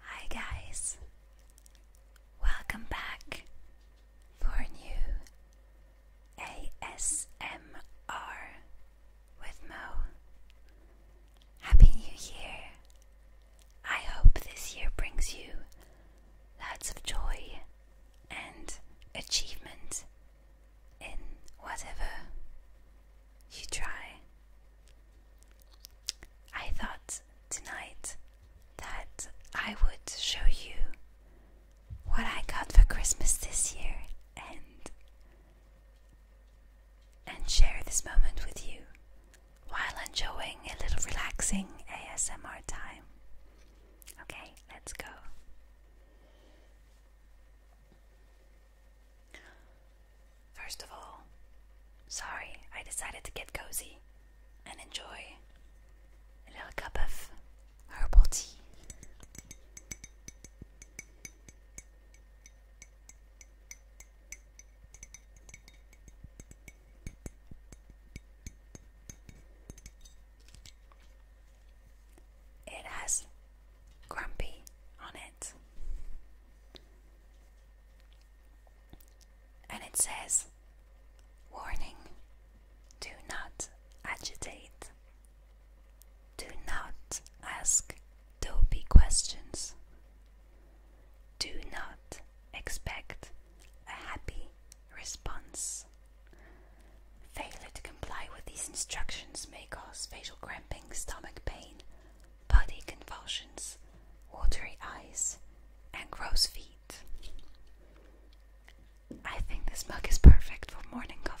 Hi, guys. Welcome back for a new ASMR with Mo. Happy New Year. I hope this year brings you lots of joy and achievement in whatever you try I thought tonight that I would show you what I got for Christmas this year and and share this moment with you while enjoying a little relaxing ASMR time. Okay, let's go. First of all, sorry I decided to get cozy and enjoy a little cup of herbal tea. It has grumpy on it and it says Warning Do not agitate. Do not ask dopey questions. Do not expect a happy response. Failure to comply with these instructions may cause facial cramping, stomach pain, body convulsions, watery eyes, and gross feet. I think this mug is perfect for morning coffee.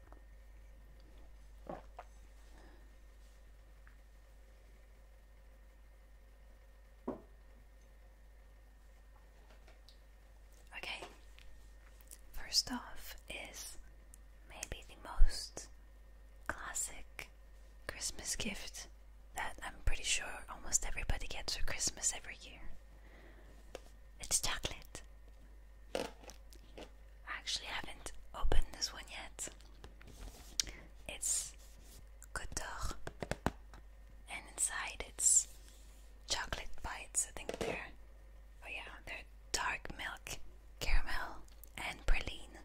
Okay, first off is maybe the most classic Christmas gift that I'm pretty sure almost everybody gets for Christmas every year. It's chocolate. I actually haven't opened this one yet. It's Cotor, and inside it's chocolate bites. I think they're oh yeah, they're dark milk, caramel, and praline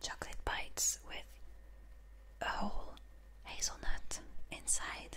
chocolate bites with a whole hazelnut inside.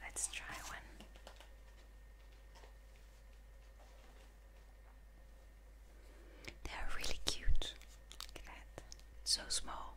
Let's try one. They are really cute. Look at that. So small.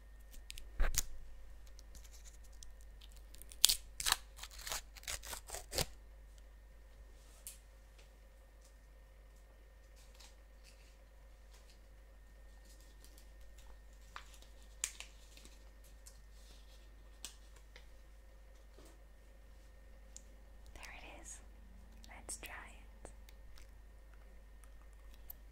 There it is. Let's try it.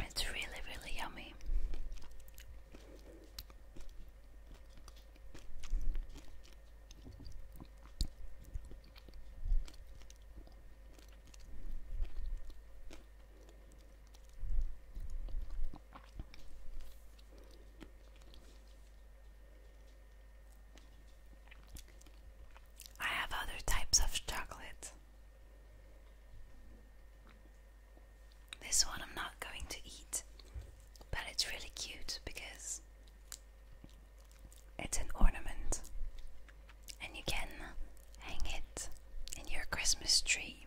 It's really, really yummy. I have other types of chocolate this one I'm not going to eat, but it's really cute because it's an ornament and you can hang it in your Christmas tree.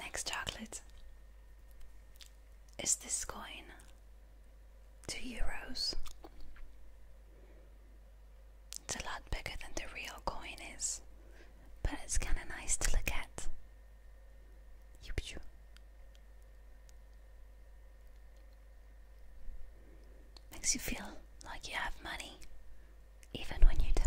Next chocolate is this coin, two euros. It's a lot bigger than the real coin is, but it's kind of nice to look at. Makes you feel like you have money even when you don't.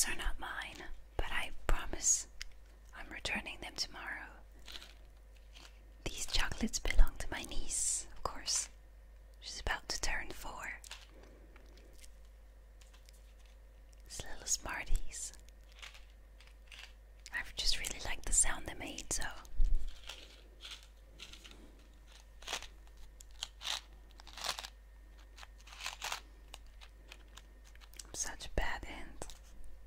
Those are not mine, but I promise I'm returning them tomorrow. These chocolates belong to my niece, of course. She's about to turn four. These little smarties. I just really like the sound they made, so. such bad aunt.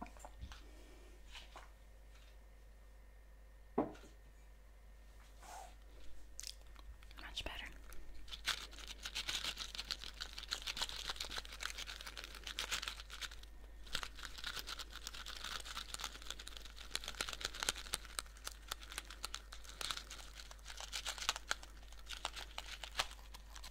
Much better.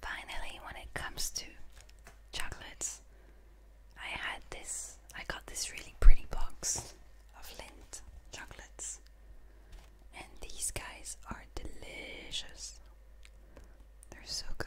Finally, when it comes to chocolates, I had this, I got this really pretty box of Lindt chocolates, and these guys are delicious. They're so good.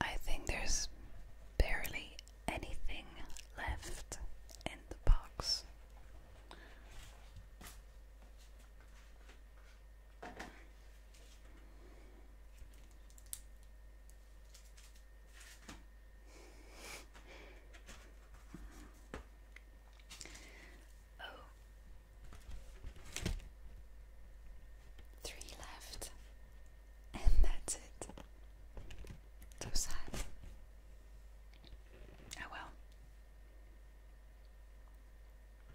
I think there's barely anything left in the box. Oh, three left, and that's it. So sad. Oh well.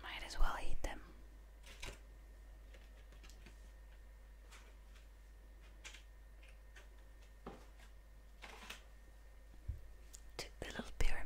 Might as well eat them to the little pyramid.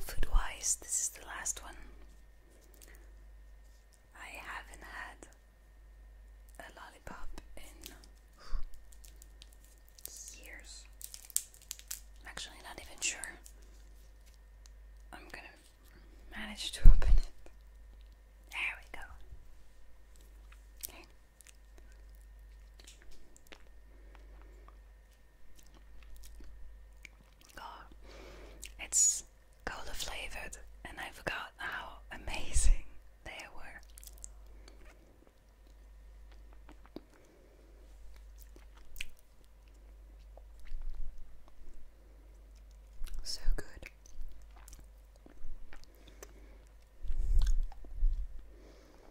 Food this is the last one. I haven't had a lollipop in years. I'm actually not even sure I'm gonna manage to open it. There we go it's cola flavored, and I forgot how amazing they were. So good.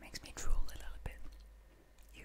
Makes me drool a little bit. You.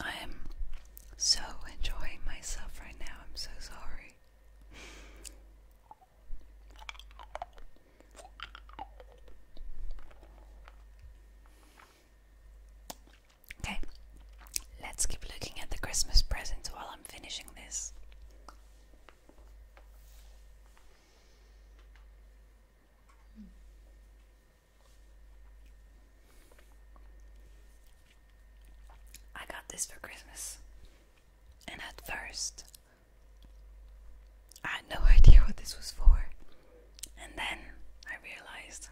I am so enjoying myself right now. I'm so sorry. Okay, let's keep looking at the Christmas presents while I'm finishing this. I got this for Christmas, and at first I had no idea what this was for, and then I realized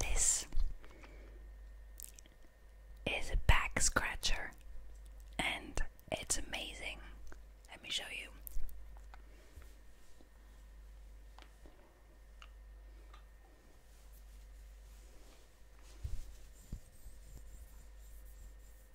this is a back scratcher and it's amazing. Let me show you.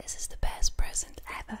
This is the best present ever.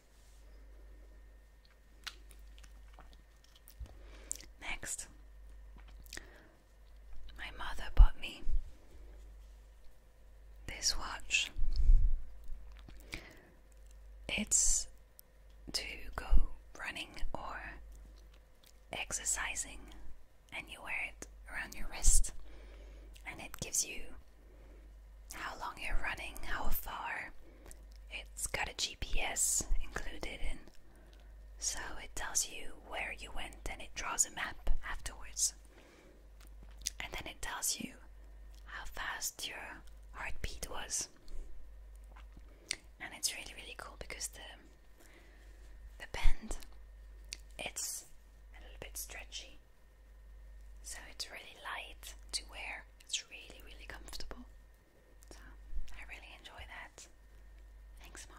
Next, my mother bought me this watch. It's to go running or exercising, and you wear it around your wrist, and it gives you how long you're running, how far. It's got a GPS included in, so it tells you where you went and it draws a map afterwards. And then it tells you how fast your heartbeat was. And it's really really cool because the the bend it's a little bit stretchy so it's really light to wear, it's really, really comfortable. So I really enjoy that. Thanks, Mom.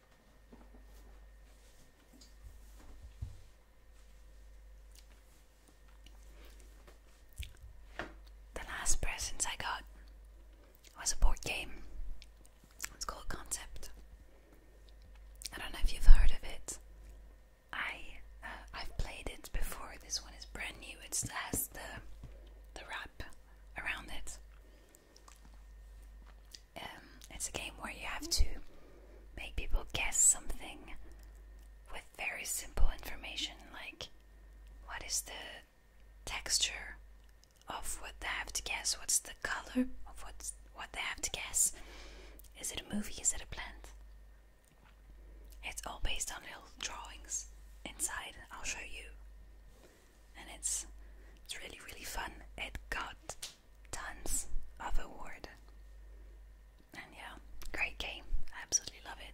The last presents I got was a board game. It's called Concept. I don't know if you've heard of it. I uh, I've played it before. This one is brand new. It has the the wrap around it. Um, it's a game where you have to make people guess something with very simple information, like what is the texture of what they have to guess, what's the color of what's, what they have to guess. Is it a movie? Is it a plant? It's all based on little drawings inside. I'll show you. And it's it's really really fun. It got tons of award. And yeah, great game. I absolutely love it.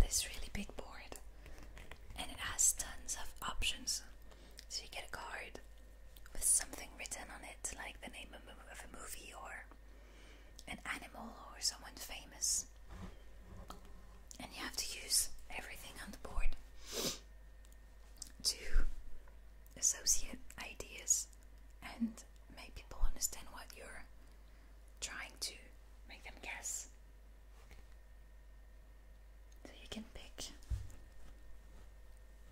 this really big board and it has tons of options. So you get a card with something written on it, like the name of a movie or an animal or someone famous. And you have to use everything on the board to associate ideas and make people understand what you're trying to make them guess. So you can pick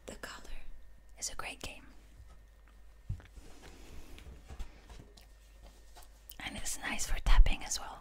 the color. It's a great game. And it's nice for tapping as well.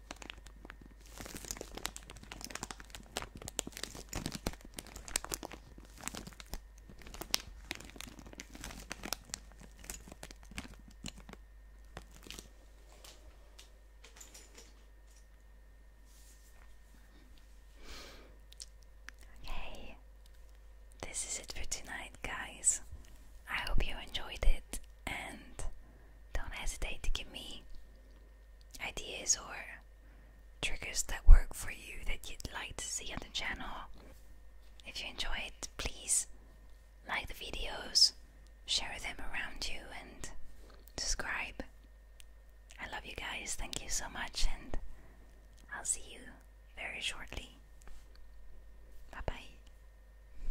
Okay, this is it for tonight, guys. I hope you enjoyed it and don't hesitate to give me ideas or triggers that work for you that you'd like to see on the channel. If you enjoyed, please like the videos, share them around you, and subscribe. I love you guys. Thank you so much, and I'll see you very shortly. Bye bye.